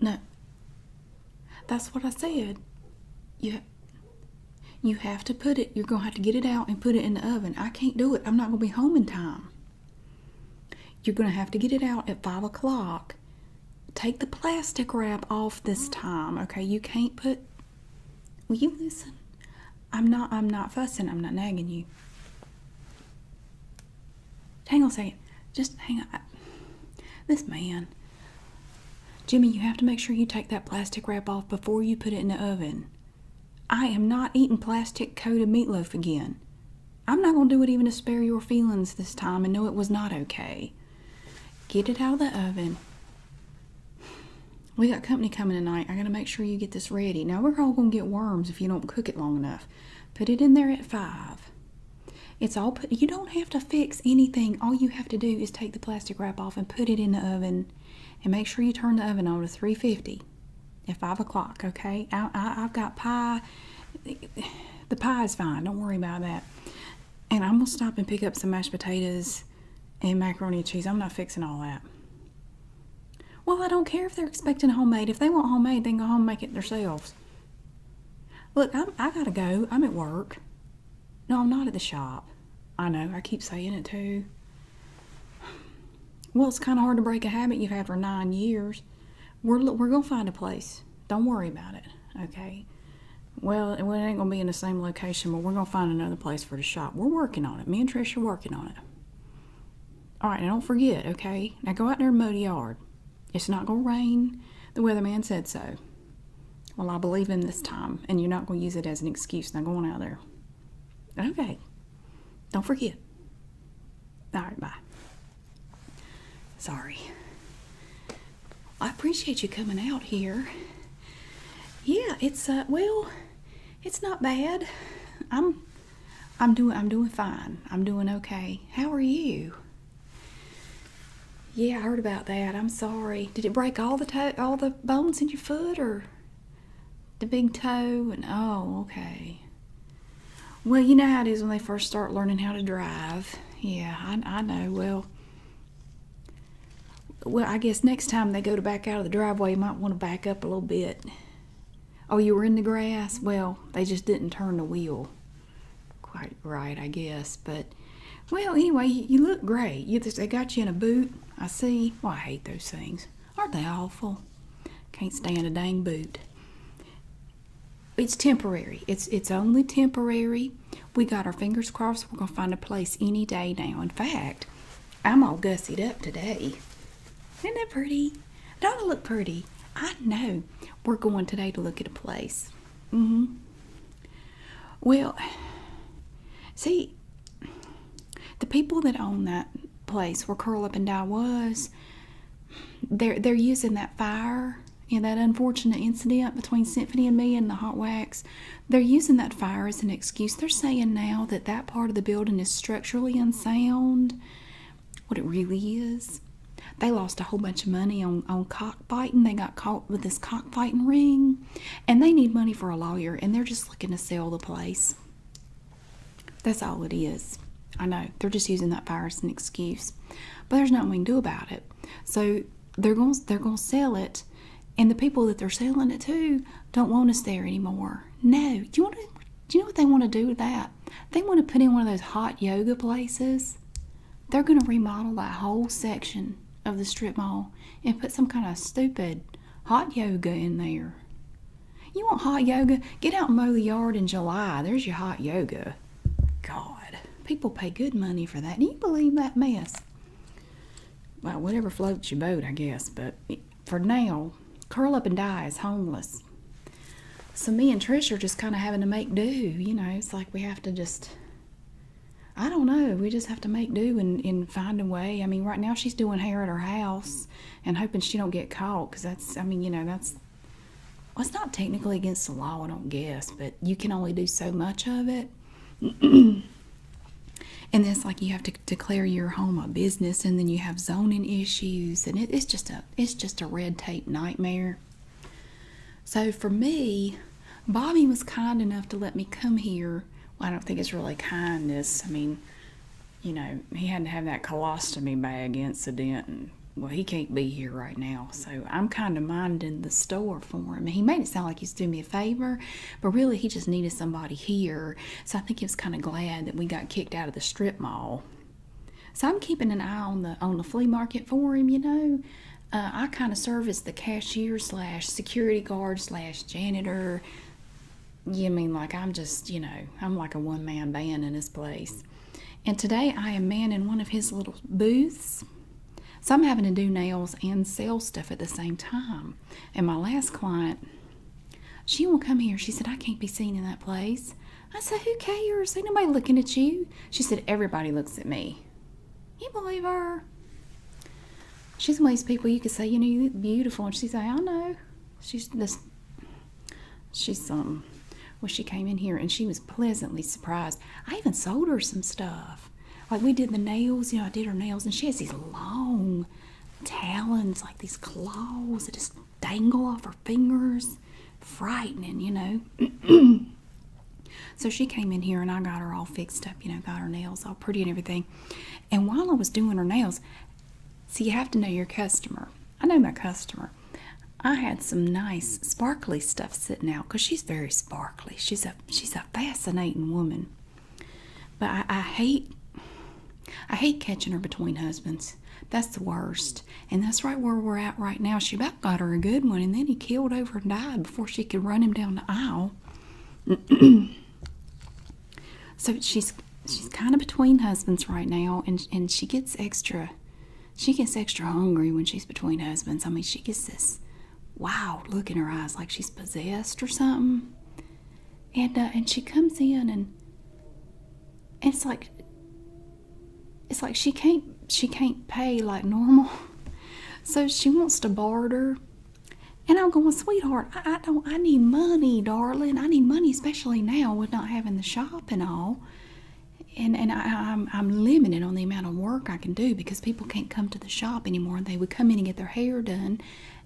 No. That's what I said. You you have to put it. You're going to have to get it out and put it in the oven. I can't do it. I'm not going to be home in time. You're going to have to get it out at five o'clock. Take the plastic wrap off this time, okay? You can't put. Will you listen? I'm not. I'm not fussing. I'm not nagging you. Hang on a second. Just hang on. This man. Jimmy, you have to make sure you take that plastic wrap off before you put it in the oven. I am not eating plastic coated meatloaf again. I'm not going to do it even to spare your feelings this time and know it was not okay. Get it out of the oven. We got company coming tonight. I got to make sure you get this ready. Now, we're all going to get worms if you don't cook it long enough. Put it in there at 5. It's all put, you don't have to fix anything. All you have to do is take the plastic wrap off and put it in the oven and make sure you turn the oven on to 350 at 5 o'clock, okay? I, have got pie. The pie is fine. Don't worry about that. And I'm going to stop and pick up some mashed potatoes and macaroni and cheese. I'm not fixing all that. Well, I don't care if they're expecting homemade. If they want homemade, they can go home and make it themselves. Look, I'm, I got to go. I'm at work. No, I'm not at the shop. I know, I keep saying it too. Well, it's kind of hard to break a habit you've had for nine years. We're, we're gonna find a place. Don't worry about it, okay? Well, it ain't gonna be in the same location, but we're gonna find another place for the shop. We're working on it. Me and Trish are working on it. All right, now don't forget, okay? Now go out there and mow the yard. It's not going to rain. The weatherman said so. Well, I believe him this time, and you're not going to use it as an excuse. Now go on out there. Okay. Don't forget. All right, bye. Sorry. I appreciate you coming out here. Yeah, it's uh well, it's not bad. I'm I'm doing I'm doing fine. I'm doing okay. How are you? Yeah, I heard about that. I'm sorry. Did it break all the toe, all the bones in your foot, or the big toe? And oh, okay. Well, you know how it is when they first start learning how to drive. Yeah, I, I know. Well, well, I guess next time they go to back out of the driveway, you might want to back up a little bit. Oh, you were in the grass? Well, they just didn't turn the wheel quite right, I guess. But well, anyway, you look great. they got you in a boot. I see. Well, I hate those things. Aren't they awful? Can't stand a dang boot. It's temporary. It's it's only temporary. We got our fingers crossed. We're gonna find a place any day now. In fact, I'm all gussied up today. Isn't that pretty? It ought to look pretty. I know. We're going today to look at a place. Mm-hmm. Well, see, the people that own that place where Curl Up and Die was, they're they're using that fire and that unfortunate incident between Symphony and me and the hot wax. They're using that fire as an excuse. They're saying now that that part of the building is structurally unsound what it really is. They lost a whole bunch of money on, on cockfighting. They got caught with this cockfighting ring, and they need money for a lawyer, and they're just looking to sell the place. That's all it is. I know they're just using that fire as an excuse, but there's nothing we can do about it. So they're going they're going to sell it, and the people that they're selling it to don't want us there anymore. No, do you want to? Do you know what they want to do with that? They want to put in one of those hot yoga places. They're going to remodel that whole section of the strip mall and put some kind of stupid hot yoga in there. You want hot yoga? Get out and mow the yard in July. There's your hot yoga. God, people pay good money for that. Do you believe that mess? Well, whatever floats your boat, I guess. But for now, Curl Up and Die as homeless. So me and Trish are just kind of having to make do. You know, it's like we have to just. I don't know. We just have to make do and, find a way. I mean, right now she's doing hair at her house and hoping she don't get caught because that's. I mean, you know, that's. Well, not technically against the law, I don't guess, but you can only do so much of it. and it's like you have to declare your home a business, and then you have zoning issues, and it's just a it's just a red tape nightmare. So for me, Bobby was kind enough to let me come here. Well, I don't think it's really kindness. I mean, you know, he had to have that colostomy bag incident, and well, he can't be here right now. So I'm kind of minding the store for him. He made it sound like he's doing me a favor, but really he just needed somebody here. So I think he was kind of glad that we got kicked out of the strip mall so I'm keeping an eye on the on the flea market for him. You know, uh, I kind of serve as the cashier slash security guard slash janitor. You mean like I'm just you know I'm like a one man band in this place. And today I am manning one of his little booths. So I'm having to do nails and sell stuff at the same time. And my last client, she won't come here. She said, I can't be seen in that place. I said, Who cares? Ain't nobody looking at you. She said, Everybody looks at me. You believe her? She's one of these people you could say, You know, you look beautiful. And she said, I know. She's this, she's um, well, she came in here and she was pleasantly surprised. I even sold her some stuff. Like we did the nails, you know, I did her nails and she has these long talons, like these claws that just dangle off her fingers. Frightening, you know. so she came in here and I got her all fixed up, you know, got her nails all pretty and everything. And while I was doing her nails, see, you have to know your customer. I know my customer. I had some nice sparkly stuff sitting out because she's very sparkly. She's a she's a fascinating woman. But I, I hate I hate catching her between husbands. That's the worst. And that's right where we're at right now. She about got her a good one, and then he killed over and died before she could run him down the aisle. so she's she's kind of between husbands right now, and and she gets extra, she gets extra hungry when she's between husbands. I mean, she gets this wow look in her eyes, like she's possessed or something. And uh, and she comes in and it's like it's like she can't she can't pay like normal so she wants to barter and i'm going sweetheart I, don't i need money darling i need money especially now with not having the shop and all and and I, I'm I'm limited on the amount of work I can do because people can't come to the shop anymore. They would come in and get their hair done,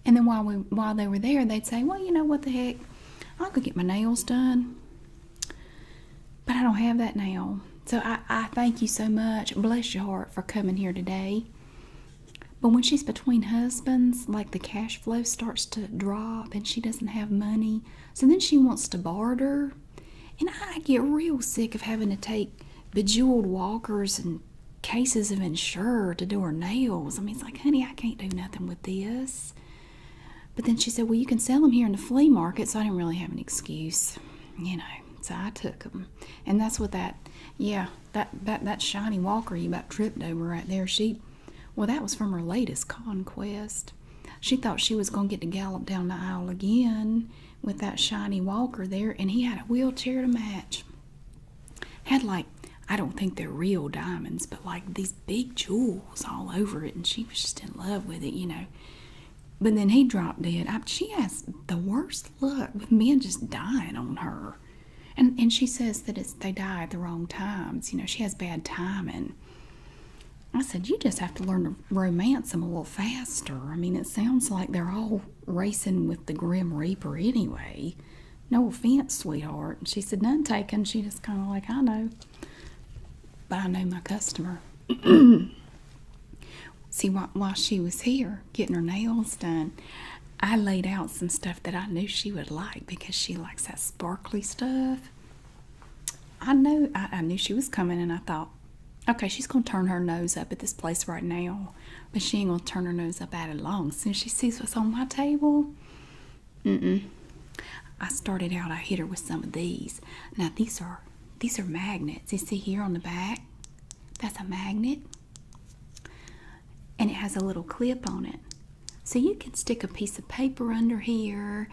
and then while we while they were there, they'd say, "Well, you know what the heck, I'll go get my nails done. But I don't have that now. So I, thank you so much. Bless your heart for coming here today. But when she's between husbands, like the cash flow starts to drop and she doesn't have money. So then she wants to barter. And I get real sick of having to take bejeweled walkers and cases of insure to do her nails. I mean, it's like, honey, I can't do nothing with this. But then she said, Well, you can sell them here in the flea market. So I didn't really have an excuse, you know. So I took them. And that's what that, yeah, that, that, that shiny walker you about tripped over right there, she, well, that was from her latest conquest. She thought she was going to get to gallop down the aisle again with that shiny walker there, and he had a wheelchair to match. Had like, I don't think they're real diamonds, but like these big jewels all over it, and she was just in love with it, you know. But then he dropped dead. she has the worst luck with men just dying on her. And, and she says that it's they die at the wrong times. You know, she has bad timing. I said, you just have to learn to romance them a little faster. I mean, it sounds like they're all racing with the Grim Reaper anyway. No offense, sweetheart. And she said, none taken. She just kind of like, I know. But I know my customer. See, while she was here getting her nails done, I laid out some stuff that I knew she would like because she likes that sparkly stuff. I knew I, knew she was coming, and I thought, okay, she's gonna turn her nose up at this place right now, but she ain't gonna turn her nose up at it long. As soon as she sees what's on my table, mm I started out, I hit her with some of these. Now these are these are magnets. You see here on the back? That's a magnet. And it has a little clip on it. So you can stick a piece of paper under here,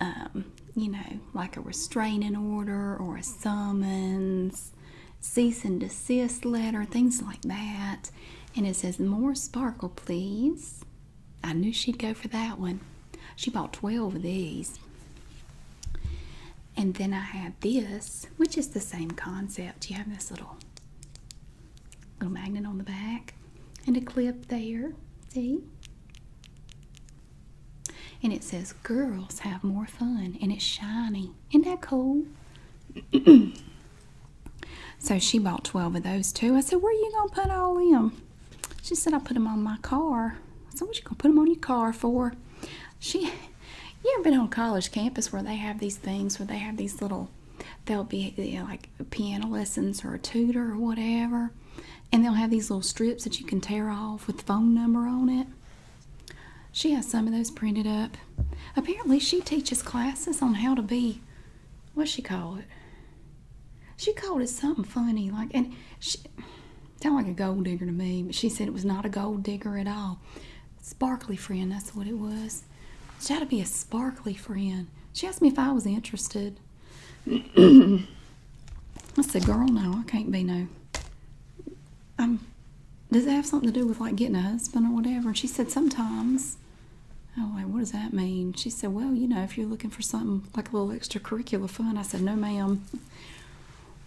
um, you know, like a restraining order or a summons, cease and desist letter, things like that. And it says, More sparkle, please. I knew she'd go for that one. She bought 12 of these. And then I had this, which is the same concept. You have this little little magnet on the back and a clip there. See? And it says girls have more fun and it's shiny. Isn't that cool? so she bought 12 of those too. I said, Where are you going to put all them? She said, I put them on my car. I said, What you gonna put them on your car for? She, you ever been on college campus where they have these things where they have these little, they'll be like piano lessons or a tutor or whatever, and they'll have these little strips that you can tear off with the phone number on it. She has some of those printed up. Apparently, she teaches classes on how to be, what's she call it? She called it something funny, like, and she sounded like a gold digger to me, but she said it was not a gold digger at all. Sparkly friend, that's what it was. She had to be a sparkly friend. She asked me if I was interested. I said, girl, no, I can't be no. I'm, does it have something to do with like getting a husband or whatever? And she said, sometimes. Oh, like, what does that mean? She said, well, you know, if you're looking for something like a little extracurricular fun. I said, no, ma'am.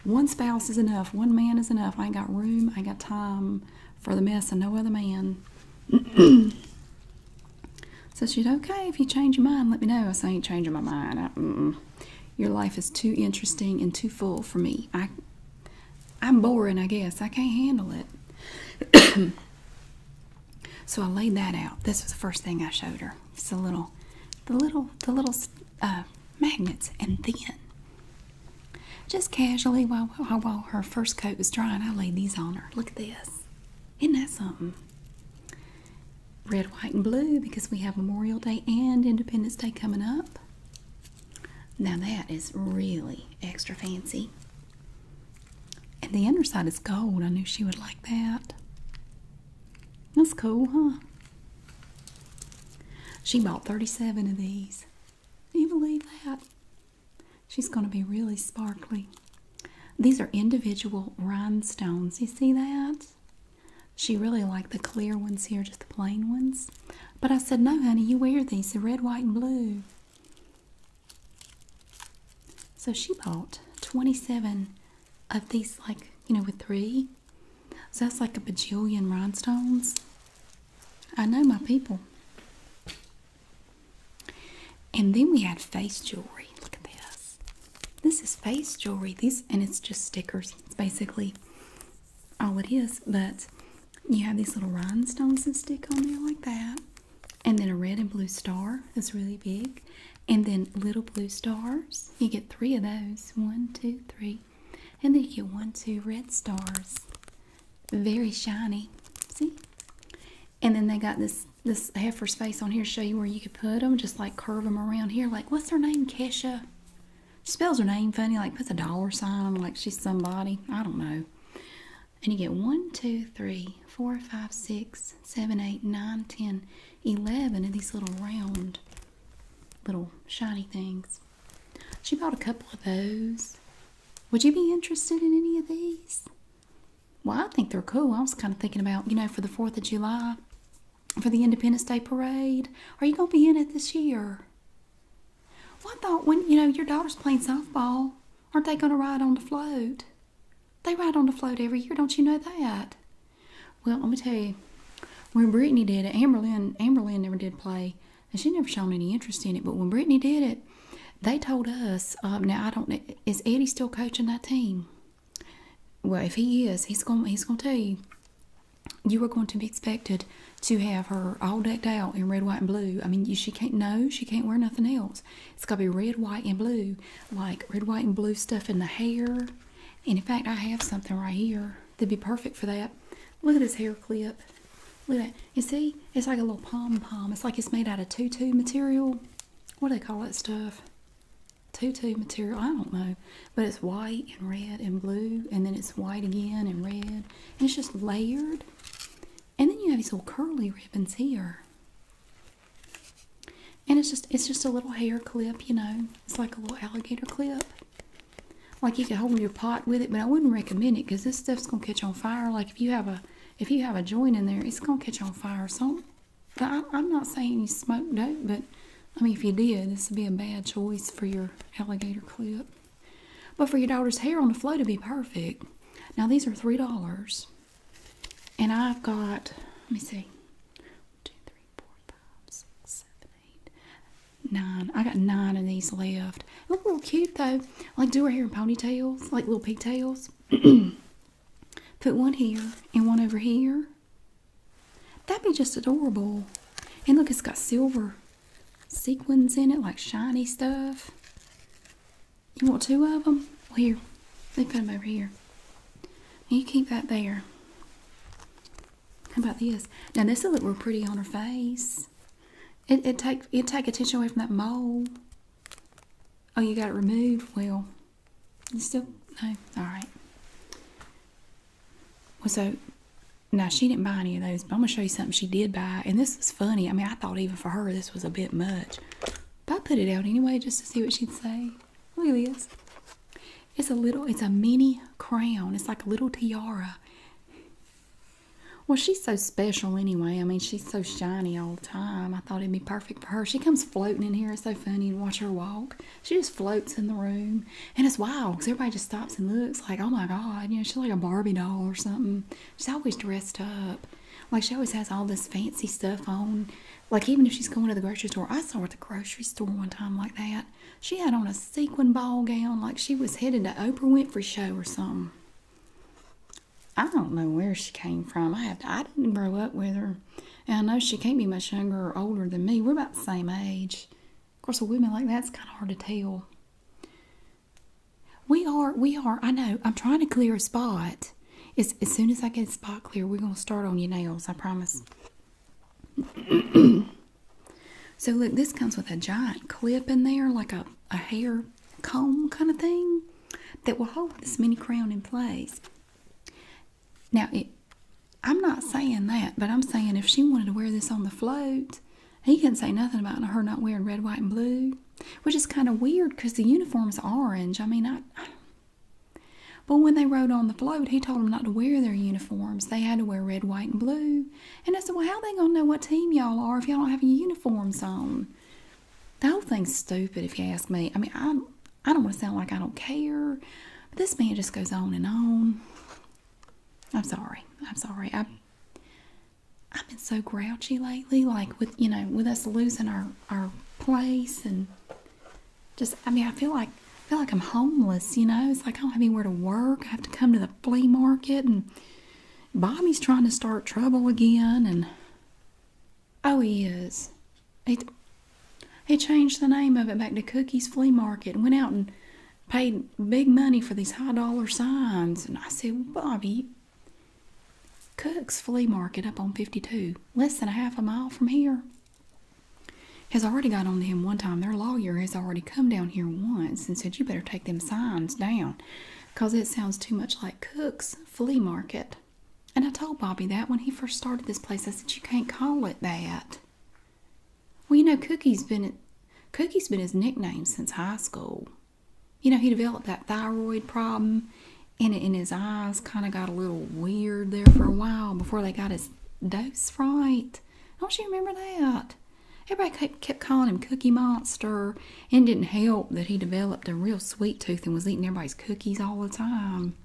One spouse is enough. One man is enough. I ain't got room. I ain't got time for the mess and no other man. so she said, okay, if you change your mind, let me know. I said, I ain't changing my mind. Your life is too interesting and too full for me. I, I'm boring, I guess. I can't handle it. So I laid that out. This was the first thing I showed her. It's the little, the little, the little uh, magnets, and then just casually while while her first coat was drying, I laid these on her. Look at this. Isn't that something? Red, white, and blue because we have Memorial Day and Independence Day coming up. Now that is really extra fancy. And the underside is gold. I knew she would like that. That's cool, huh? She bought 37 of these. Can you believe that? She's going to be really sparkly. These are individual rhinestones. You see that? She really liked the clear ones here, just the plain ones. But I said, no, honey, you wear these, the red, white, and blue. So she bought 27 of these, like, you know, with three. So that's like a bajillion rhinestones. I know my people. And then we had face jewelry. Look at this. This is face jewelry. These and it's just stickers. It's basically all it is. But you have these little rhinestones that stick on there like that. And then a red and blue star that's really big. And then little blue stars, you get three of those. One, two, three. And then you get one, two red stars. Very shiny. See? And then they got this this heifer's space on here show you where you could put them. Just like curve them around here. Like, what's her name? Kesha. She spells her name funny. Like, puts a dollar sign on like she's somebody. I don't know. And you get one, two, three, four, five, six, seven, eight, nine, ten. 11 of these little round, little shiny things. She bought a couple of those. Would you be interested in any of these? Well, I think they're cool. I was kind of thinking about, you know, for the 4th of July, for the Independence Day Parade. Are you going to be in it this year? Well, I thought when, you know, your daughter's playing softball, aren't they going to ride on the float? They ride on the float every year. Don't you know that? Well, let me tell you, when Brittany did it, Amberlynn, Amberlynn never did play, and she never shown any interest in it. But when Brittany did it, they told us. Um, now I don't. Is Eddie still coaching that team? Well, if he is, he's going. He's going to tell you. You are going to be expected to have her all decked out in red, white, and blue. I mean, she can't. No, she can't wear nothing else. It's got to be red, white, and blue. Like red, white, and blue stuff in the hair and in fact, I have something right here that'd be perfect for that. Look at this hair clip. Look at that. You see, it's like a little pom pom. It's like it's made out of tutu material. What do they call that stuff? Tutu material. I don't know. But it's white and red and blue, and then it's white again and red. And it's just layered. And then you have these little curly ribbons here. And it's just it's just a little hair clip, you know. It's like a little alligator clip. Like you could hold your pot with it, but I wouldn't recommend it because this stuff's gonna catch on fire. Like if you have a if you have a joint in there, it's gonna catch on fire. So I, I'm not saying you smoke dope, but I mean if you did, this would be a bad choice for your alligator clip. But for your daughter's hair on the flow to be perfect, now these are three dollars. And I've got, let me see, one, two, three, four, five, six, seven, eight, nine. I got nine of these left. They look little cute though. like do her hair in ponytails, like little pigtails. Put one here and one over here. That'd be just adorable. And look, it's got silver sequins in it, like shiny stuff. You want two of them? Well, here, they put them over here. You keep that there. How about this? Now this will look real pretty on her face. It it take it take attention away from that mole. Oh, you got it removed. Well, you still no. All right. Well, so now she didn't buy any of those, but I'm gonna show you something she did buy, and this is funny. I mean, I thought even for her this was a bit much, but I put it out anyway just to see what she'd say. Look It's a little, it's a mini crown. It's like a little tiara. Well, she's so special anyway. I mean, she's so shiny all the time. I thought it'd be perfect for her. She comes floating in here. It's so funny to watch her walk. She just floats in the room. And it's wild because everybody just stops and looks like, oh my God, you know, she's like a Barbie doll or something. She's always dressed up. Like, she always has all this fancy stuff on. Like even if she's going to the grocery store, I saw her at the grocery store one time like that. She had on a sequin ball gown, like she was headed to Oprah Winfrey show or something. I don't know where she came from. I have I didn't grow up with her, and I know she can't be much younger or older than me. We're about the same age. Of course, a woman like that's kind of hard to tell. We are, we are. I know. I'm trying to clear a spot it's, as soon as I get spot clear, we're going to start on your nails, I promise. so, look, this comes with a giant clip in there, like a, a hair comb kind of thing, that will hold this mini crown in place. Now, I'm not saying that, but I'm saying if she wanted to wear this on the float, he can say nothing about her not wearing red, white, and blue, which is kind of weird because the uniform's orange. I mean, I, but when they rode on the float, he told them not to wear their uniforms. They had to wear red, white, and blue. And I said, Well, how they going to know what team y'all are if y'all don't have uniforms on? The whole thing's stupid, if you ask me. I mean, I, I don't want to sound like I don't care, but this man just goes on and on. I'm sorry. I'm sorry. I, I've been so grouchy lately, like with, you know, with us losing our, our place and just I mean I feel like I feel like I'm homeless, you know. It's like I don't have anywhere to work. I have to come to the flea market and Bobby's trying to start trouble again and oh he is. He, he changed the name of it back to Cookie's Flea Market and went out and paid big money for these high dollar signs. And I said, Bobby, Cook's Flea Market up on 52, less than a half a mile from here has already got on to him one time. Their lawyer has already come down here once and said, You better take them signs down because it sounds too much like Cook's Flea Market. And I told Bobby that when he first started this place, I said, You can't call it that. Well, you know, Cookie's been Cookie's been his nickname since high school. You know, he developed that thyroid problem and in his eyes kind of got a little weird there for a while before they got his dose right. Don't you remember that? Everybody kept calling him Cookie Monster, and didn't help that he developed a real sweet tooth and was eating everybody's cookies all the time.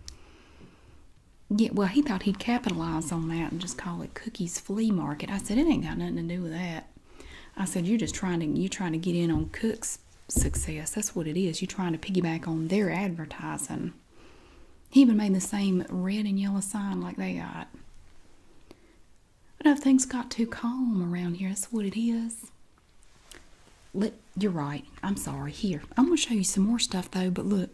Yeah, well, he thought he'd capitalize on that and just call it Cookie's Flea Market. I said it ain't got nothing to do with that. I said you're just trying to you're trying to get in on Cook's success. That's what it is. You're trying to piggyback on their advertising. He even made the same red and yellow sign like they got. I know things got too calm around here, that's what it is. Let, you're right. I'm sorry. Here, I'm going to show you some more stuff though, but look.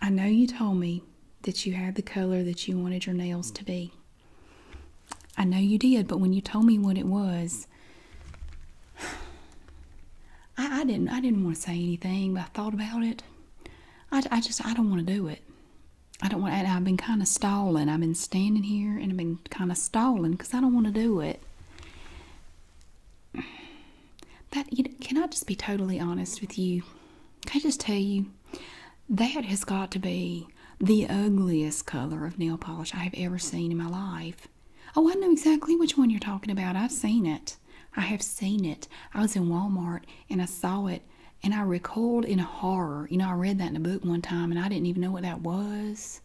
I know you told me that you had the color that you wanted your nails to be. I know you did, but when you told me what it was, I, didn't I didn't want to say anything, but I thought about it. I, I just I don't want to do it. I don't want. I've been kind of stalling. I've been standing here and I've been kind of stalling because I don't want to do it. That you know, can I just be totally honest with you? Can I just tell you that has got to be the ugliest color of nail polish I have ever seen in my life. Oh, I know exactly which one you're talking about. I've seen it. I have seen it. I was in Walmart and I saw it and I recoiled in horror. You know, I read that in a book one time and I didn't even know what that was.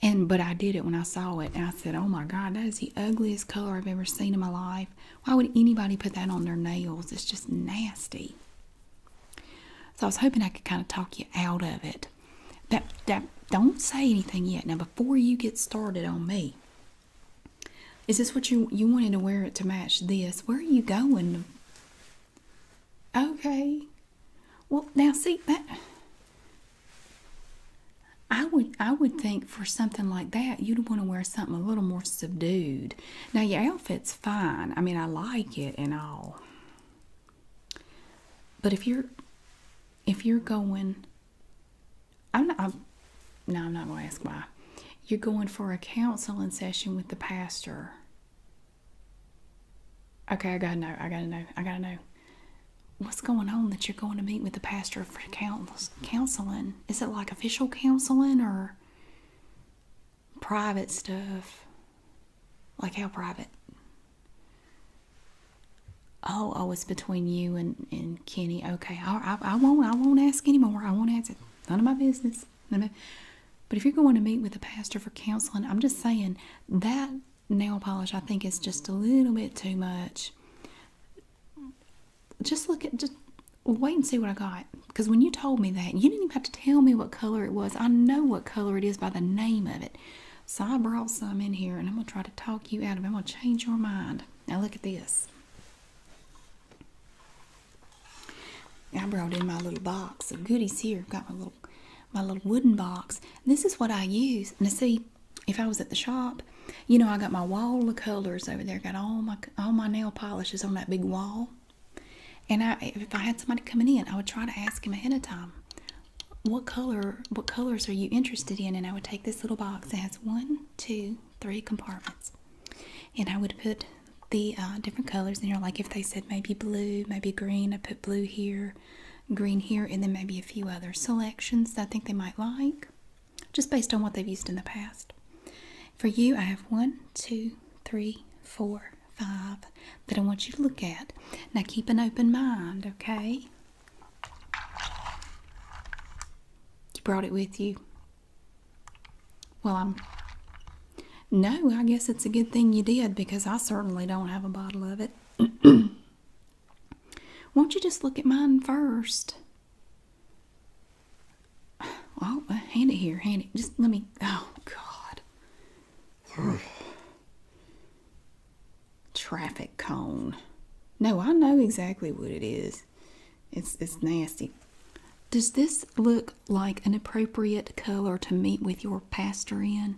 And but I did it when I saw it and I said, "Oh my god, that is the ugliest color I've ever seen in my life. Why would anybody put that on their nails? It's just nasty." So I was hoping I could kind of talk you out of it don't say anything yet. Now before you get started on me. Is this what you you wanted to wear it to match this? Where are you going? Okay. Well, now see that I would I would think for something like that you'd want to wear something a little more subdued. Now your outfit's fine. I mean, I like it and all. But if you're if you're going I'm not, no, I'm not going to ask why. You're going for a counseling session with the pastor. Okay, I gotta know. I gotta know. I gotta know. What's going on that you're going to meet with the pastor for counseling? Is it like official counseling or private stuff? Like how private? Oh, oh, it's between you and, and Kenny. Okay, I, I, won't I won't ask anymore. I won't ask None of my business. Of but if you're going to meet with a pastor for counseling, I'm just saying that nail polish I think is just a little bit too much. Just look at just wait and see what I got. Because when you told me that, you didn't even have to tell me what color it was. I know what color it is by the name of it. So I brought some in here and I'm going to try to talk you out of it. I'm going to change your mind. Now look at this. I brought in my little box of goodies here. Got my little my little wooden box. This is what I use. Now see, if I was at the shop, you know, I got my wall of colors over there. Got all my all my nail polishes on that big wall. And I, if I had somebody coming in, I would try to ask him ahead of time what color what colors are you interested in and i would take this little box it has one two three compartments and i would put the uh, different colors in here like if they said maybe blue maybe green i put blue here green here and then maybe a few other selections that i think they might like just based on what they've used in the past for you i have one two three four five that i want you to look at now keep an open mind okay you brought it with you? Well, I'm. No, I guess it's a good thing you did because I certainly don't have a bottle of it. Won't you just look at mine first? Oh, uh, hand it here, hand it. Just let me. Oh, God traffic cone. No, I know exactly what it is. It's it's nasty. Does this look like an appropriate color to meet with your pastor in?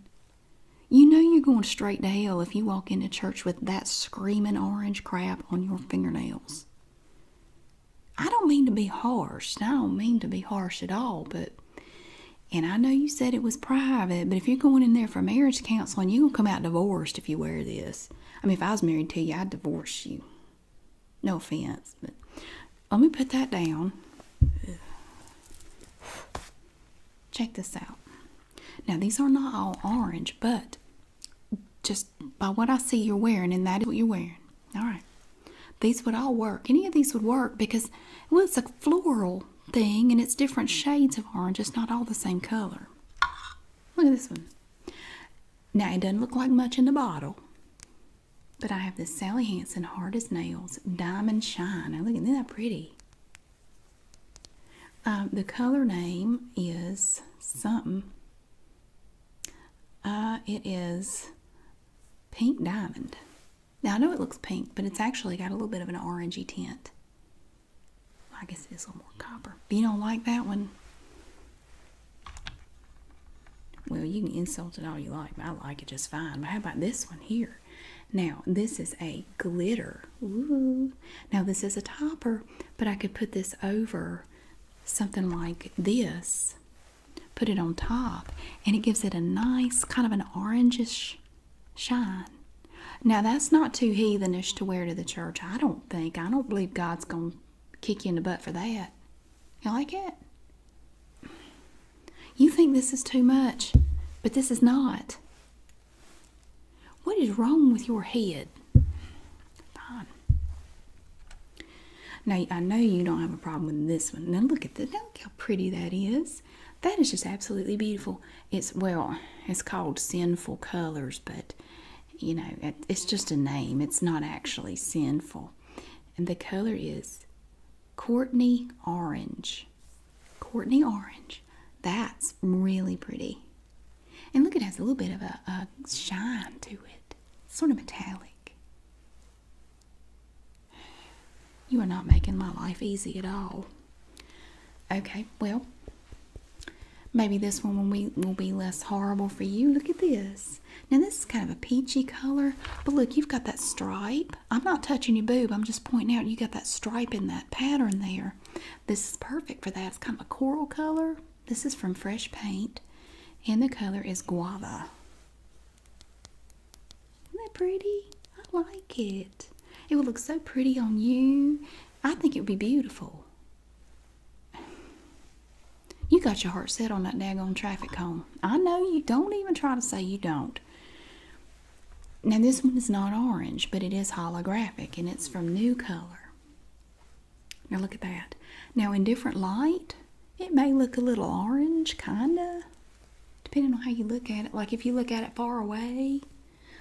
You know you're going straight to hell if you walk into church with that screaming orange crap on your fingernails. I don't mean to be harsh. I don't mean to be harsh at all, but and I know you said it was private, but if you're going in there for marriage counseling, you're going to come out divorced if you wear this. I mean, if I was married to you, I'd divorce you. No offense, but let me put that down. Check this out. Now, these are not all orange, but just by what I see you're wearing, and that is what you're wearing. All right. These would all work. Any of these would work because, it was a floral thing and it's different shades of orange. It's not all the same color. Look at this one. Now it doesn't look like much in the bottle. But I have this Sally Hansen Hard as Nails Diamond Shine. I look at that pretty. Um, the color name is something. Uh, it is Pink Diamond. Now I know it looks pink, but it's actually got a little bit of an orangey tint. I guess it is a little more copper. If you don't like that one, well, you can insult it all you like, I like it just fine. But how about this one here? Now, this is a glitter. Now, this is a topper, but I could put this over something like this, put it on top, and it gives it a nice kind of an orangish shine. Now, that's not too heathenish to wear to the church, I don't think. I don't believe God's going to kick you in the butt for that. You like it? You think this is too much, but this is not. What is wrong with your head? Fine. Now, I know you don't have a problem with this one. Now, look at this. Now, look how pretty that is. That is just absolutely beautiful it's well, it's called sinful colors, but you know, it's just a name. It's not actually sinful. And the color is Courtney Orange. Courtney Orange. That's really pretty. And look, it has a little bit of a, a shine to it, it's sort of metallic. You are not making my life easy at all. Okay, well, maybe this one will be, less horrible for you. Look at this. Now, this is kind of a peachy color, but look, you've got that stripe. I'm not touching your boob, I'm just pointing out you got that stripe in that pattern there. This is perfect for that. It's kind of a coral color. This is from Fresh Paint, and the color is Guava. Isn't that pretty? I like it. It will look so pretty on you. I think it would be beautiful. You got your heart set on that daggone traffic cone. I know you don't even try to say you don't. Now, this one is not orange, but it is holographic and it's from New Color. Now, look at that. Now, in different light, it may look a little orange, kinda, depending on how you look at it. Like if you look at it far away,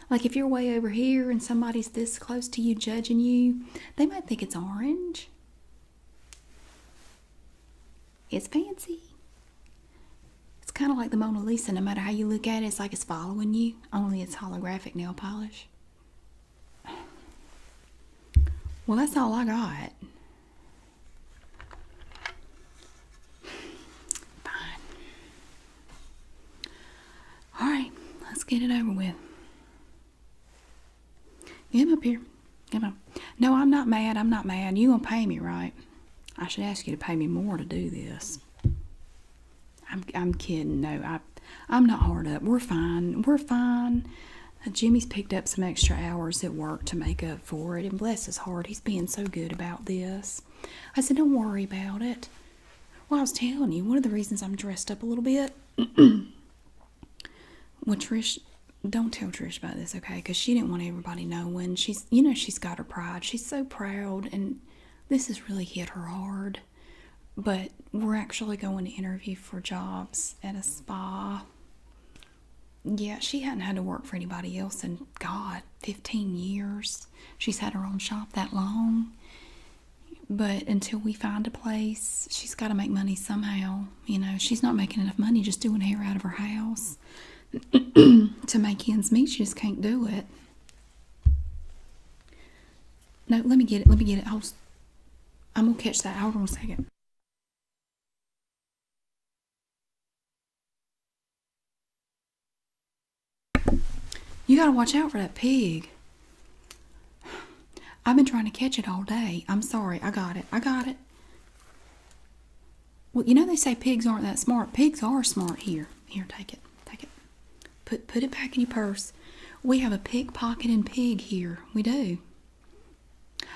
like if you're way over here and somebody's this close to you judging you, they might think it's orange. It's fancy. It's kind of like the Mona Lisa, no matter how you look at it, it's like it's following you, only it's holographic nail polish. Well, that's all I got. Fine. All right, let's get it over with. Get up here. Come on. No, I'm not mad. I'm not mad. You gonna pay me, right? I should ask you to pay me more to do this. I'm I'm kidding. No, I I'm not hard up. We're fine. We're fine. Uh, Jimmy's picked up some extra hours at work to make up for it, and bless his heart, he's being so good about this. I said, Don't worry about it. Well, I was telling you, one of the reasons I'm dressed up a little bit. well, Trish, don't tell Trish about this, okay? Because she didn't want everybody know when She's, you know, she's got her pride. She's so proud, and this has really hit her hard. But we're actually going to interview for jobs at a spa. Yeah, she hadn't had to work for anybody else in, God, 15 years. She's had her own shop that long. But until we find a place, she's got to make money somehow. You know, she's not making enough money just doing hair out of her house to make ends meet. She just can't do it. No, let me get it. Let me get it. I'm going to catch that. Hold on a second. You gotta watch out for that pig. I've been trying to catch it all day. I'm sorry. I got it. I got it. Well, you know they say pigs aren't that smart. Pigs are smart. Here, here, take it, take it. Put put it back in your purse. We have a pickpocketing pig here. We do.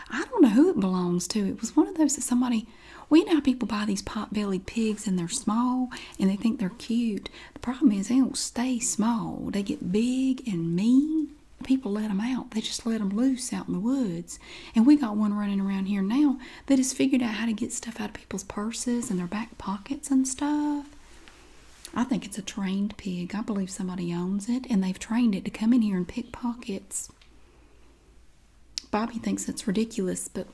I don't know who it belongs to. It was one of those that somebody. We now people buy these pot-bellied pigs and they're small and they think they're cute. The problem is they don't stay small. They get big and mean. People let them out. They just let them loose out in the woods. And we got one running around here now that has figured out how to get stuff out of people's purses and their back pockets and stuff. I think it's a trained pig. I believe somebody owns it and they've trained it to come in here and pick pockets. Bobby thinks it's ridiculous, but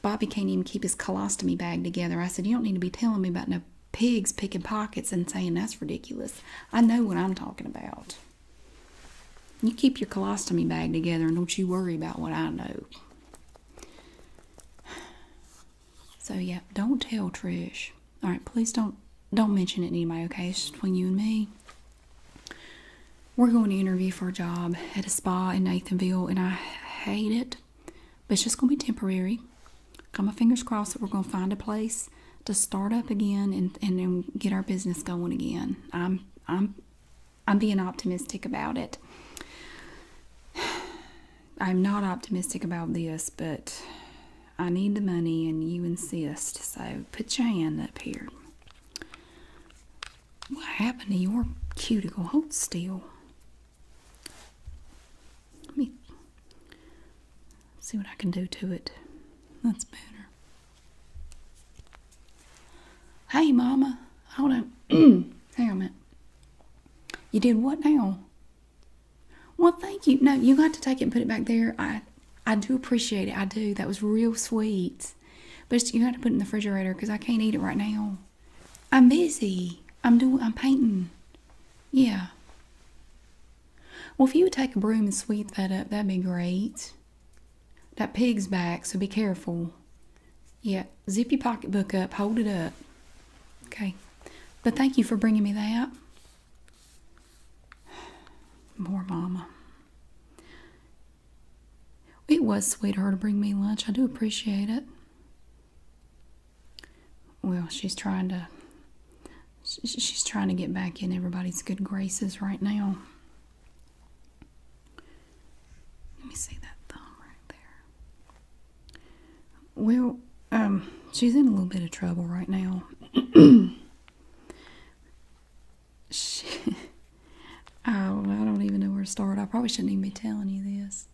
Bobby can't even keep his colostomy bag together. I said, You don't need to be telling me about no pigs picking pockets and saying that's ridiculous. I know what I'm talking about. You keep your colostomy bag together and don't you worry about what I know. So yeah, don't tell Trish. All right, please don't don't mention it any anybody. Okay, between you and me. We're going to interview for a job at a spa in Nathanville, and I hate it. But it's just going to be temporary. Got my fingers crossed that we're going to find a place to start up again and, and, get our business going again. I'm I'm I'm being optimistic about it. I'm not optimistic about this, but I need the money and you insist. So put your hand up here. What happened to your cuticle? Hold still. Let me see what I can do to it. That's better. Hey, Mama. Hold on. Hang on a minute. You did what now? Well, thank you. No, you got to take it and put it back there. I, I do appreciate it. I do. That was real sweet. But you got to put it in the refrigerator because I can't eat it right now. I'm busy. I'm doing. I'm painting. Yeah. Well, if you would take a broom and sweep that up, that'd be great. That pig's back, so be careful. Yeah, zip your pocketbook up, hold it up. Okay. But thank you for bringing me that. More mama. It was sweet to bring me lunch. I do appreciate it. Well, she's trying to she's trying to get back in everybody's good graces right now. Let me see that thumb right there. Well, um, she's in a little bit of trouble right now. I don't, I don't even know where to start. I probably shouldn't even be telling you this.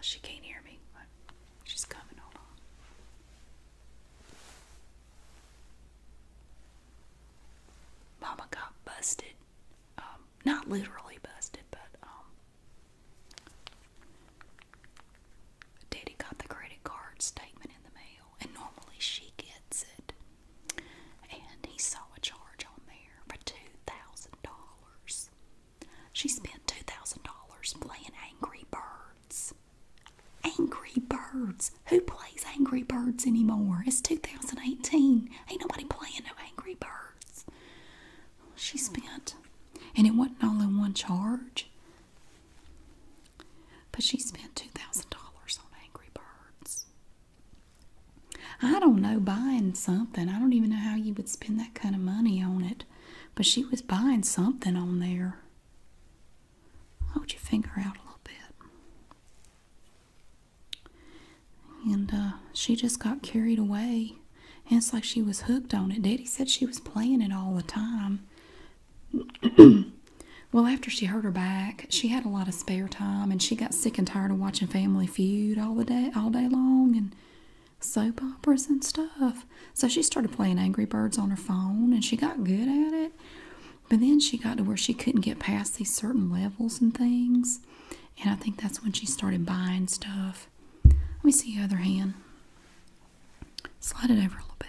She can't hear me, but she's coming. Hold Mama got busted. Um, not literally busted, but um, Daddy got the credit card statement in the mail, and normally she gets it. And he saw a charge on there for $2,000. She spent two thousand dollars playing Angry Birds. Angry Birds. Who plays Angry Birds anymore? It's 2018. Ain't nobody playing no Angry Birds. She spent, and it wasn't all in one charge, but she spent $2,000 on Angry Birds. I don't know, buying something. I don't even know how you would spend that kind of money on it. But she was buying something on there. Hold your finger out a little bit. And uh, she just got carried away. And it's like she was hooked on it. Daddy said she was playing it all the time. well, after she hurt her back, she had a lot of spare time, and she got sick and tired of watching Family Feud all the day, all day long, and soap operas and stuff. So she started playing Angry Birds on her phone and she got good at it. But then she got to where she couldn't get past these certain levels and things. And I think that's when she started buying stuff. Let me see the other hand. Slide it over a little bit.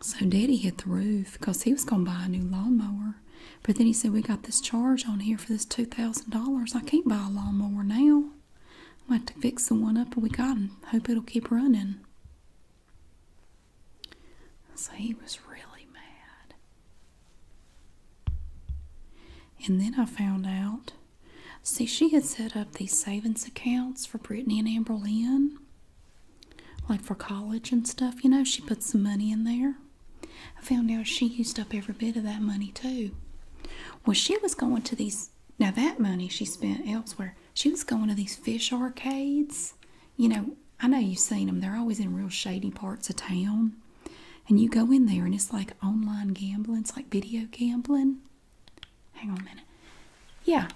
So Daddy hit the roof because he was going to buy a new lawnmower. But then he said, We got this charge on here for this $2,000. I can't buy a lawnmower now. I'm have to fix the one up we got and hope it'll keep running. So he was really mad. And then I found out see, she had set up these savings accounts for Brittany and Amber Lynn, like for college and stuff. You know, she put some money in there. I found out she used up every bit of that money too. Well, she was going to these, now that money she spent elsewhere, she was going to these fish arcades. You know, I know you've seen them, they're always in real shady parts of town. And you go in there and it's like online gambling, it's like video gambling. Hang on a minute. Yeah.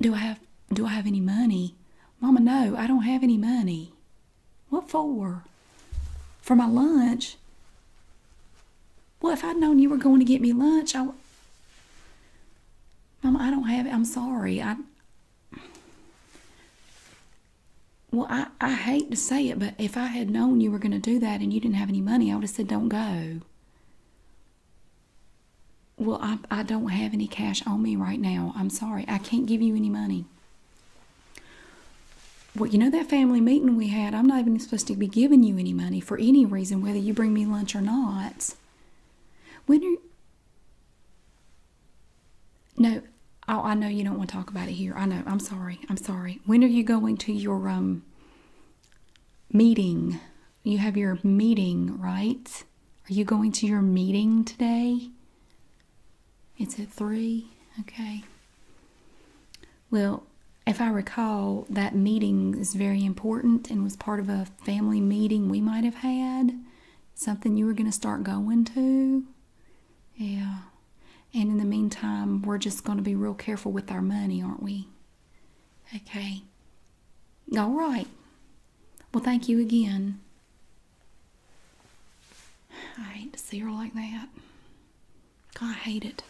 Do I have do I have any money? Mama, no, I don't have any money. What for? For my lunch? Well, if I'd known you were going to get me lunch, I. Mama, I don't have it. I'm sorry. I. Well, I, I hate to say it, but if I had known you were going to do that and you didn't have any money, I would have said, don't go. Well, I, I don't have any cash on me right now. I'm sorry. I can't give you any money. Well, you know that family meeting we had, I'm not even supposed to be giving you any money for any reason, whether you bring me lunch or not. When are No, oh, I know you don't want to talk about it here. I know. I'm sorry. I'm sorry. When are you going to your um meeting? You have your meeting, right? Are you going to your meeting today? It's at three. Okay. Well, if I recall, that meeting is very important and was part of a family meeting we might have had. Something you were going to start going to. Yeah. And in the meantime, we're just going to be real careful with our money, aren't we? Okay. All right. Well, thank you again. I hate to see her like that. God, I hate it.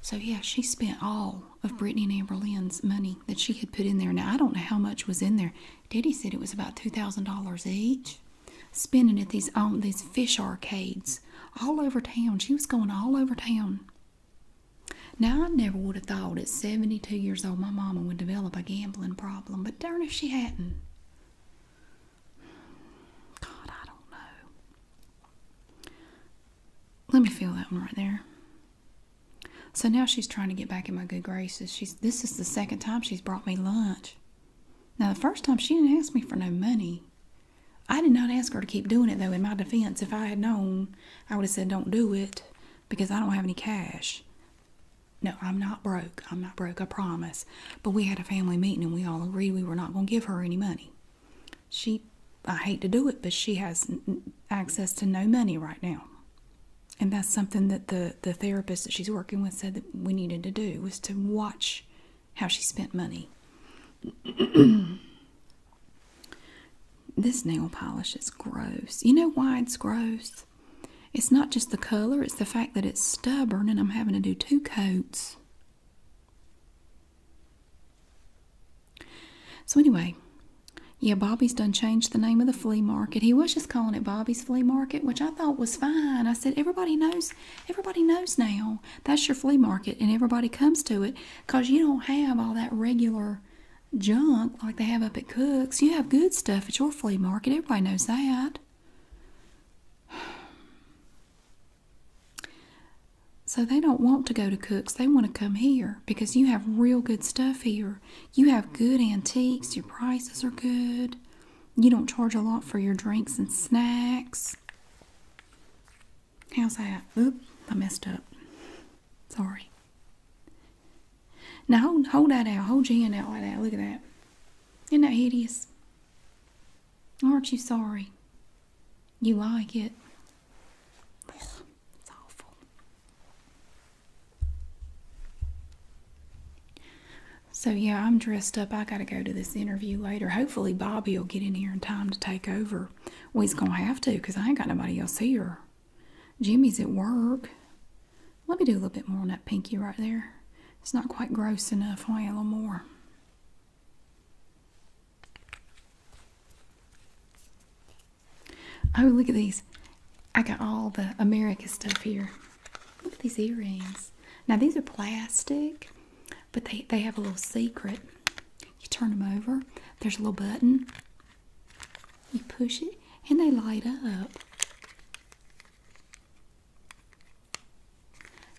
So, yeah, she spent all of Brittany and Amber Lynn's money that she had put in there. Now, I don't know how much was in there. Daddy said it was about $2,000 each. Spending at these, these fish arcades all over town. She was going all over town. Now, I never would have thought at 72 years old my mama would develop a gambling problem darn if she hadn't. God, I don't know. Let me feel that one right there. So now she's trying to get back in my good graces. She's this is the second time she's brought me lunch. Now the first time she didn't ask me for no money. I did not ask her to keep doing it though. In my defense, if I had known, I would have said don't do it because I don't have any cash. No, I'm not broke. I'm not broke, I promise. But we had a family meeting and we all agreed we were not going to give her any money. She, I hate to do it, but she has access to no money right now. And that's something that the, the therapist that she's working with said that we needed to do was to watch how she spent money. this nail polish is gross. You know why it's gross? It's not just the color, it's the fact that it's stubborn and I'm having to do two coats. So, anyway, yeah, Bobby's done changed the name of the flea market. He was just calling it Bobby's Flea Market, which I thought was fine. I said, everybody knows, everybody knows now that's your flea market and everybody comes to it because you don't have all that regular junk like they have up at cooks. You have good stuff at your flea market. Everybody knows that. So they don't want to go to Cook's. They want to come here because you have real good stuff here. You have good antiques. Your prices are good. You don't charge a lot for your drinks and snacks. How's that? Oop, I messed up. Sorry. Now hold, hold that out. Hold your hand out like that. Look at that. Isn't that hideous? Aren't you sorry? You like it. it's awful. So, yeah, I'm dressed up. I got to go to this interview later. Hopefully, Bobby will get in here in time to take over. Well, he's going to have to because I ain't got nobody else here. Jimmy's at work. Let me do a little bit more on that pinky right there. It's not quite gross enough. I want a little more. Oh, look at these. I got all the America stuff here. Look at these earrings. Now, these are plastic, but they, they have a little secret. You turn them over. There's a little button. You push it, and they light up.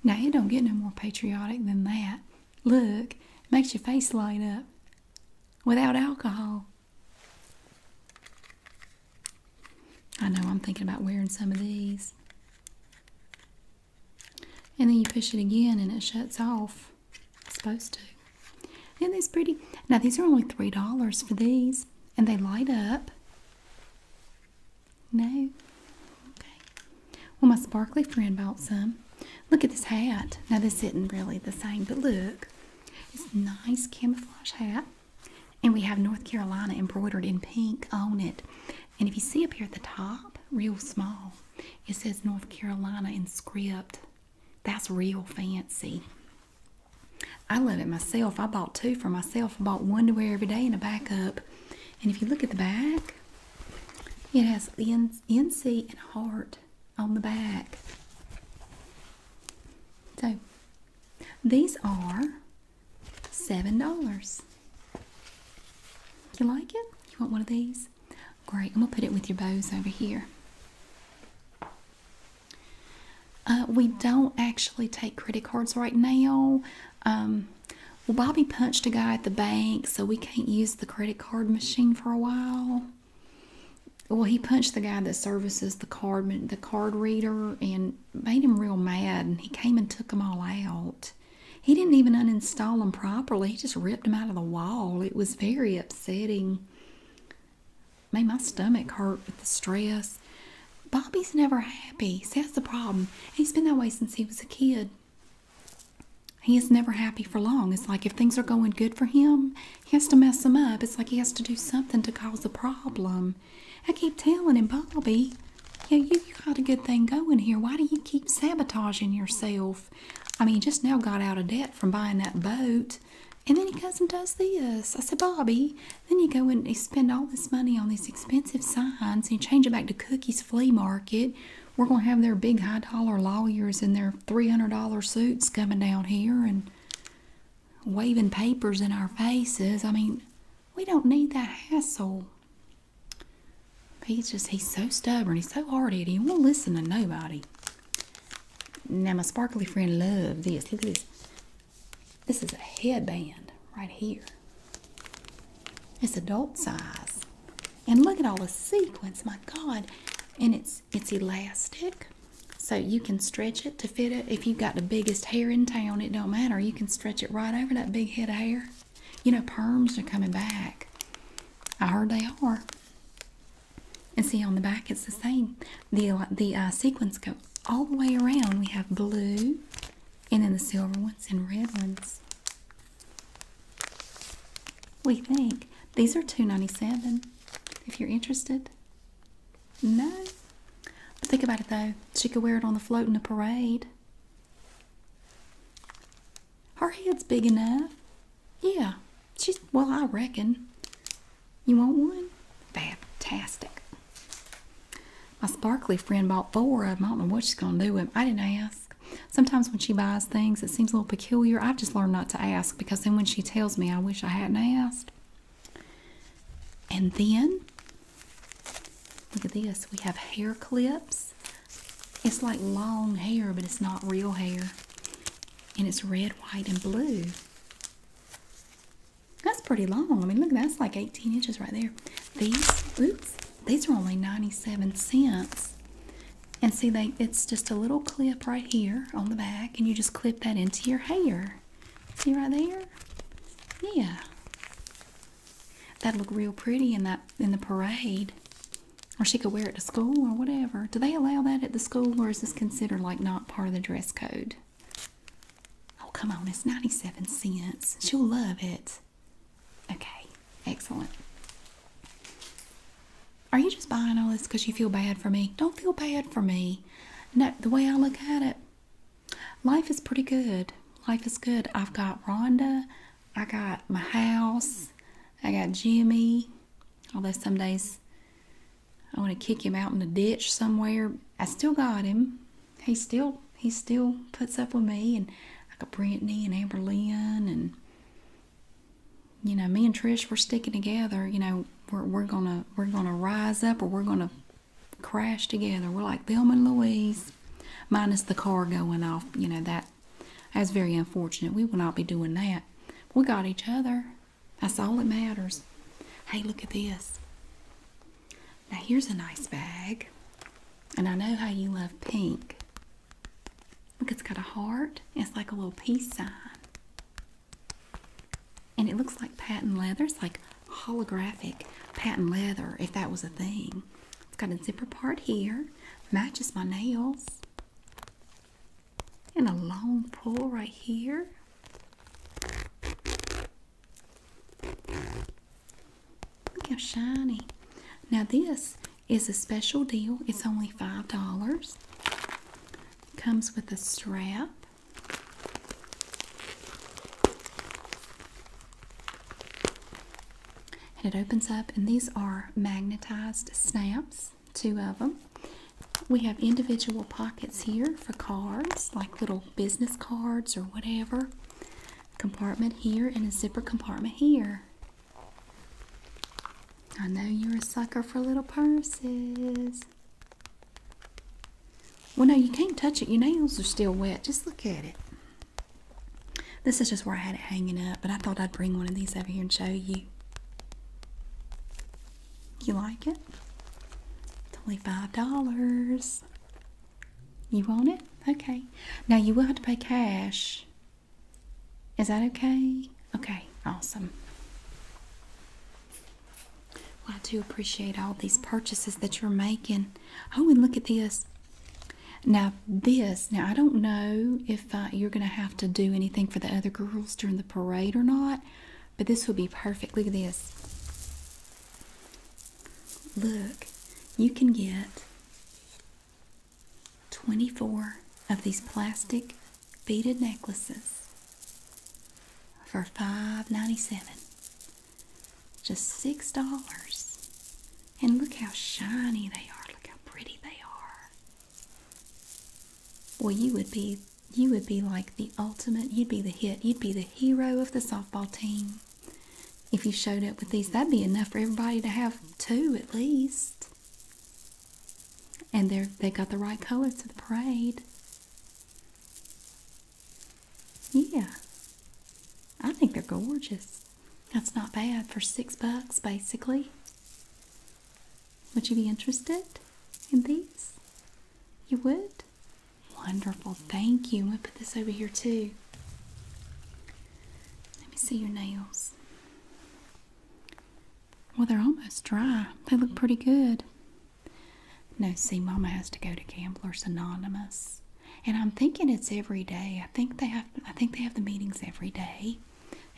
Now, you don't get no more patriotic than that. Look, it makes your face light up without alcohol. I know I'm thinking about wearing some of these. And then you push it again and it shuts off. supposed to. Isn't this pretty? Now, these are only $3 for these, and they light up. No? Okay. Well, my sparkly friend bought some. Look at this hat. Now, this isn't really the same, but look. It's a nice camouflage hat. And we have North Carolina embroidered in pink on it. And if you see up here at the top, real small, it says North Carolina in script. That's real fancy. I love it myself. I bought two for myself. I bought one to wear every day and a backup. And if you look at the back, it has NC and heart on the back. So these are seven dollars. You like it? You want one of these? Great. I'm gonna put it with your bows over here. Uh, we don't actually take credit cards right now. Um, well, Bobby punched a guy at the bank, so we can't use the credit card machine for a while. Well, he punched the guy that services the card, the card reader, and made him real mad. And he came and took them all out. He didn't even uninstall them properly. He just ripped them out of the wall. It was very upsetting made my stomach hurt with the stress. Bobby's never happy. See, that's the problem. He's been that way since he was a kid. He is never happy for long. It's like if things are going good for him, he has to mess them up. It's like he has to do something to cause a problem. I keep telling him, Bobby, yeah, you, you got a good thing going here. Why do you keep sabotaging yourself? I mean, you just now got out of debt from buying that boat. And then he goes and does this. I said, Bobby, then you go and you spend all this money on these expensive signs and you change it back to Cookie's flea market. We're going to have their big high dollar lawyers in their $300 suits coming down here and waving papers in our faces. I mean, we don't need that hassle. He's just, he's so stubborn. He's so hard headed. He won't listen to nobody. Now, my sparkly friend loved this. Look at this. This is a headband right here. It's adult size. And look at all the sequins, my God. And it's it's elastic. So you can stretch it to fit it. If you've got the biggest hair in town, it don't matter. You can stretch it right over that big head of hair. You know, perms are coming back. I heard they are. And see on the back, it's the same. The the uh, sequins go all the way around we have blue and then the silver ones and red ones. We think these are two ninety seven. If you're interested, no. But think about it though. She could wear it on the float in a parade. Her head's big enough. Yeah, she's well. I reckon you want one? Fantastic. My sparkly friend bought four of them. I don't know what she's going to do with them. I didn't ask. Sometimes when she buys things, it seems a little peculiar. I've just learned not to ask because then when she tells me, I wish I hadn't asked. And then, look at this. We have hair clips. It's like long hair, but it's not real hair. And it's red, white, and blue. That's pretty long. I mean, look, that's like 18 inches right there. These, oops, these are only 97 cents. And see, they it's just a little clip right here on the back, and you just clip that into your hair. See right there? Yeah. That'd look real pretty in that in the parade. Or she could wear it to school or whatever. Do they allow that at the school or is this considered like not part of the dress code? Oh, come on, it's 97 cents. She'll love it. Okay, excellent. Are you just buying all this because you feel bad for me? Don't feel bad for me. No, the way I look at it, life is pretty good. Life is good. I've got Rhonda, I got my house, I got Jimmy. Although some days I want to kick him out in the ditch somewhere. I still got him. He still he still puts up with me and I got Brittany and Amber and you know, me and Trish we're sticking together, you know, we're we're gonna we're gonna rise up or we're gonna crash together. We're like Bill and Louise, minus the car going off, you know, that that's very unfortunate. We will not be doing that. We got each other. That's all that matters. Hey, look at this. Now here's a nice bag. And I know how you love pink. Look, it's got a heart. It's like a little peace sign. And it looks like patent leather. It's like holographic patent leather, if that was a thing. It's got a zipper part here. Matches my nails. And a long pull right here. Look how shiny. Now this is a special deal. It's only $5. Comes with a strap. And it opens up and these are magnetized snaps, two of them. We have individual pockets here for cards, like little business cards or whatever. Compartment here and a zipper compartment here. I know you're a sucker for little purses. Well, no, you can't touch it. Your nails are still wet. Just look at it. This is just where I had it hanging up, but I thought I'd bring one of these over here and show you. You like it? It's only $5. You want it? Okay. Now you will have to pay cash. Is that okay? Okay, awesome. Well, I do appreciate all these purchases that you're making. Oh, and look at this. Now, this, now I don't know if uh, you're going to have to do anything for the other girls during the parade or not, but this would be perfect. Look at this. Look, you can get 24 of these plastic beaded necklaces for $5.97. Just $6. And look how shiny they are. Look how pretty they are. Well, you would be you would be like the ultimate, you'd be the hit, you'd be the hero of the softball team. If you showed up with these, that'd be enough for everybody to have two at least. And they're they got the right colors to the parade. Yeah. I think they're gorgeous. That's not bad for six bucks basically. Would you be interested in these? You would? Wonderful. Thank you. I'm going to put this over here too. Let me see your nails. Well, they're almost dry. They look pretty good. No, see, Mama has to go to Gamblers Anonymous, and I'm thinking it's every day. I think they have. I think they have the meetings every day,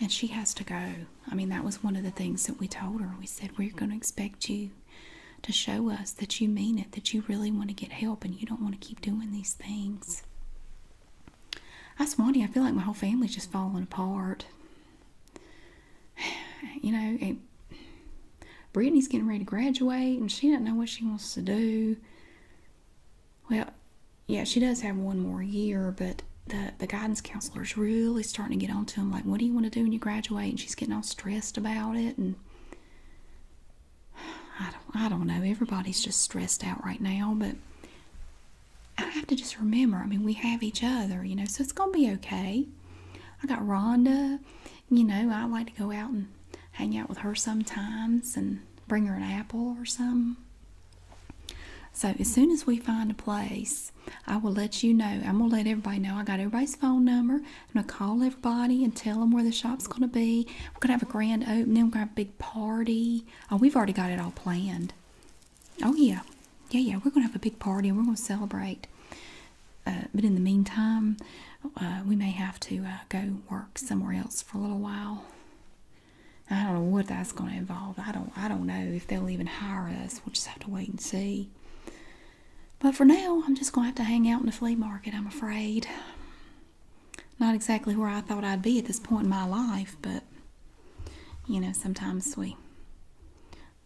and she has to go. I mean, that was one of the things that we told her. We said we're going to expect you to show us that you mean it, that you really want to get help and you don't want to keep doing these things. I swanty, I feel like my whole family's just falling apart. You know, Brittany's getting ready to graduate and she doesn't know what she wants to do. Well, yeah, she does have one more year, but the, the guidance counselor's really starting to get on to him, like, what do you want to do when you graduate? And she's getting all stressed about it. And I don't, I don't know. Everybody's just stressed out right now, but I have to just remember. I mean, we have each other, you know, so it's going to be okay. I got Rhonda, you know, I like to go out and hang out with her sometimes and bring her an apple or something. So as soon as we find a place, I will let you know. I'm gonna let everybody know. I got everybody's phone number. I'm gonna call everybody and tell them where the shop's gonna be. We're gonna have a grand opening. We're gonna have a big party. Oh, we've already got it all planned. Oh yeah, yeah, yeah. We're gonna have a big party and we're gonna celebrate. Uh, but in the meantime, uh, we may have to uh, go work somewhere else for a little while. I don't know what that's going to involve. I don't. I don't know if they'll even hire us. We'll just have to wait and see. But for now, I'm just going to have to hang out in the flea market, I'm afraid. Not exactly where I thought I'd be at this point in my life, but you know, sometimes we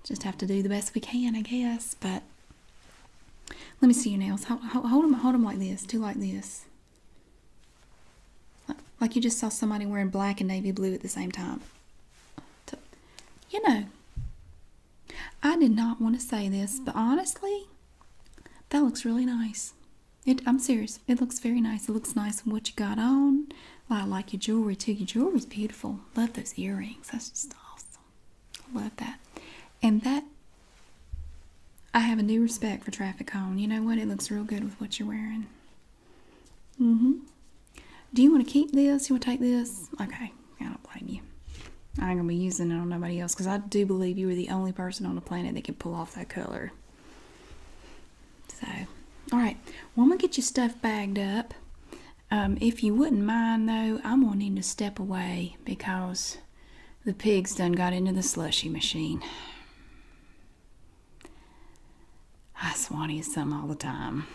just have to do the best we can, I guess. But let me see your nails. Hold, them, hold them like this. Do like this. like you just saw somebody wearing black and navy blue at the same time. You know, I did not want to say this, but honestly, that looks really nice. It, I'm serious. It looks very nice. It looks nice in what you got on. I like your jewelry too. Your jewelry's beautiful. Love those earrings. That's just awesome. Love that. And that, I have a new respect for traffic cone. You know what? It looks real good with what you're wearing. Mm-hmm. Do you want to keep this? You want to take this? Okay. I don't blame you. I ain't gonna be using it on nobody else because I do believe you were the only person on the planet that could pull off that color. So, all right, well, I'm gonna get your stuff bagged up. Um, if you wouldn't mind, though, I'm gonna need to step away because the pigs done got into the slushy machine. I swanny some all the time.